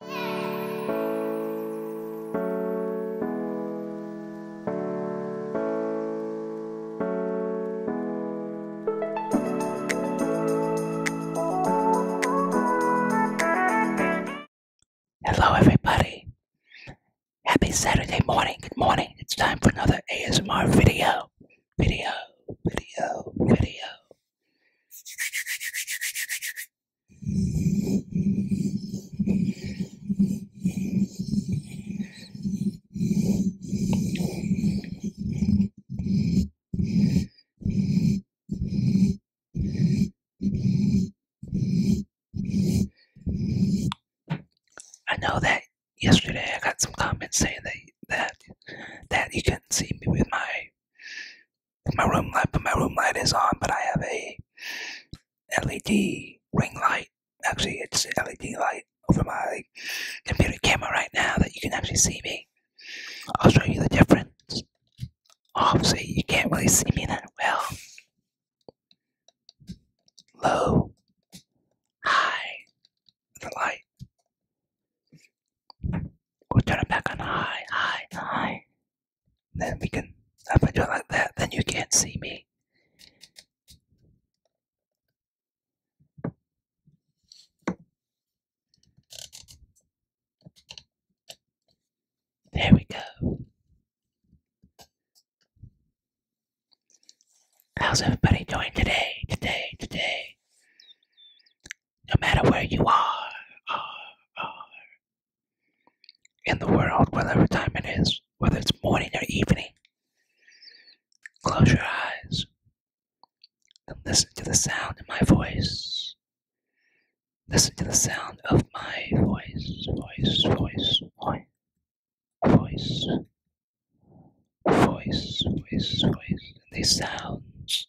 Hello, everybody. Happy Saturday morning. Good morning. It's time for another ASMR video. Video, video, video. I know that yesterday I got some comments saying that that that you couldn't see me with my my room light, but my room light is on, but I have a LED ring light. Actually, it's an LED light over my computer camera right now that you can actually see me. I'll show you the difference. Obviously, you can't really see me that well. Low, high, the light. We'll turn it back on high, high, high. Then we can If I do it like that. Then you can't see me. There we go. How's everybody doing today? Today, today no matter where you are, are, are in the world, whatever time it is, whether it's morning or evening, close your eyes and listen to the sound of my voice. Listen to the sound of my voice, voice, voice, voice, voice, voice, voice, voice. And these sounds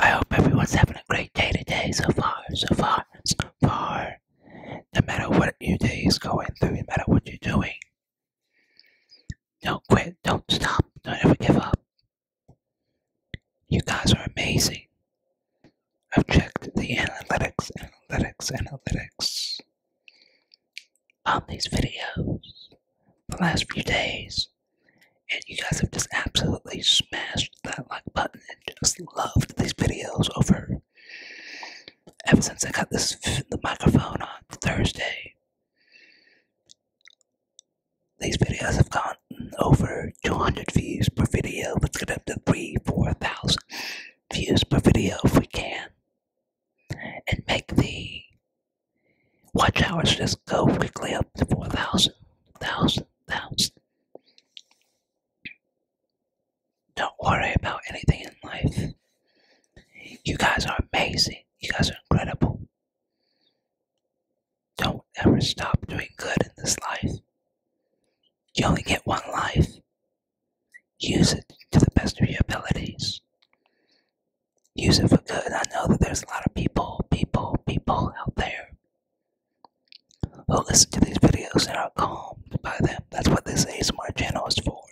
I hope everyone's having a great day today so far, so far, so far. No matter what your day is going through, no matter what you're doing, don't quit, don't stop, don't ever give up. You guys are amazing. I've checked the analytics, analytics, analytics on these videos the last few days, and you guys have just absolutely smashed that like button and just loved these videos over. Ever since I got this the microphone on Thursday, these videos have gone over 200 views per video. Let's get up to three, four thousand views per video if we can and make the watch hours just go quickly up to 4,000, 1,000, 1,000. Don't worry about anything in life. You guys are amazing. You guys are incredible. Don't ever stop doing good in this life. You only get one life. Use it to the best of your abilities. Use it for good. I know that there's a lot of people, people, people out there who listen to these videos and are calm by them. That's what this ASMR channel is for.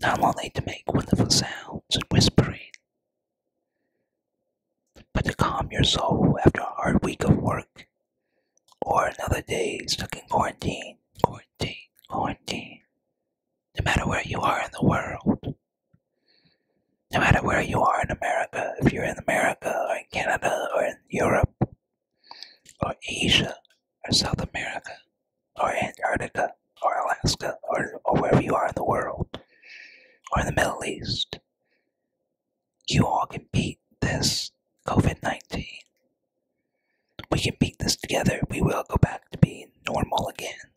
Not only to make wonderful sounds and whispering, but to calm your soul after a hard week of work or another day stuck in quarantine, quarantine, quarantine. No matter where you are in the world, no matter where you are in America, if you're in America or in Canada or in Europe or Asia or South America or Antarctica or Alaska or, wherever you are in the world or in the Middle East, you all can beat this COVID 19. We can beat this together. We will go back to being normal again.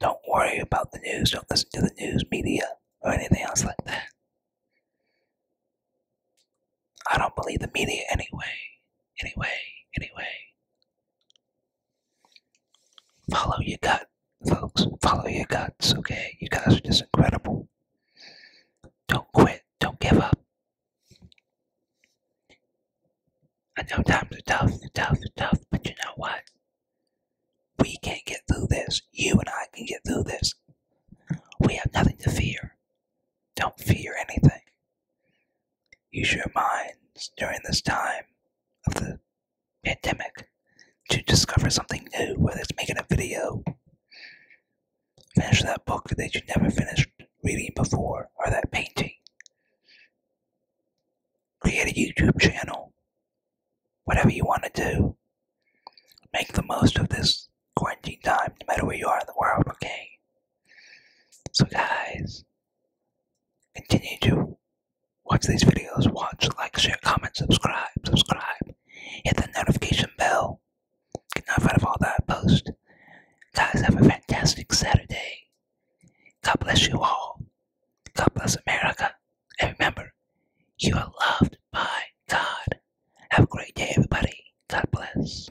Don't worry about the news. Don't listen to the news media or anything else like that. I don't believe the media anyway. Anyway, anyway. Follow your gut, folks. Follow your guts, okay? You guys are just incredible. Don't quit, don't give up. I know times are tough, tough, tough, but you know what? We can get through this. You and I can get through this. We have nothing to fear. Don't fear anything. Use your minds during this time of the pandemic to discover something new, whether it's making a video, Finish that book that you never finished reading before, or that painting. Create a YouTube channel. Whatever you want to do. Make the most of this quarantine time, no matter where you are in the world, okay? So, guys, continue to watch these videos, watch, like, share, comment, subscribe, subscribe, hit the notification bell Enough out of all that post. Guys, have a fantastic Saturday. God bless you all. God bless America. And remember, you are loved by God. Have a great day, everybody. God bless.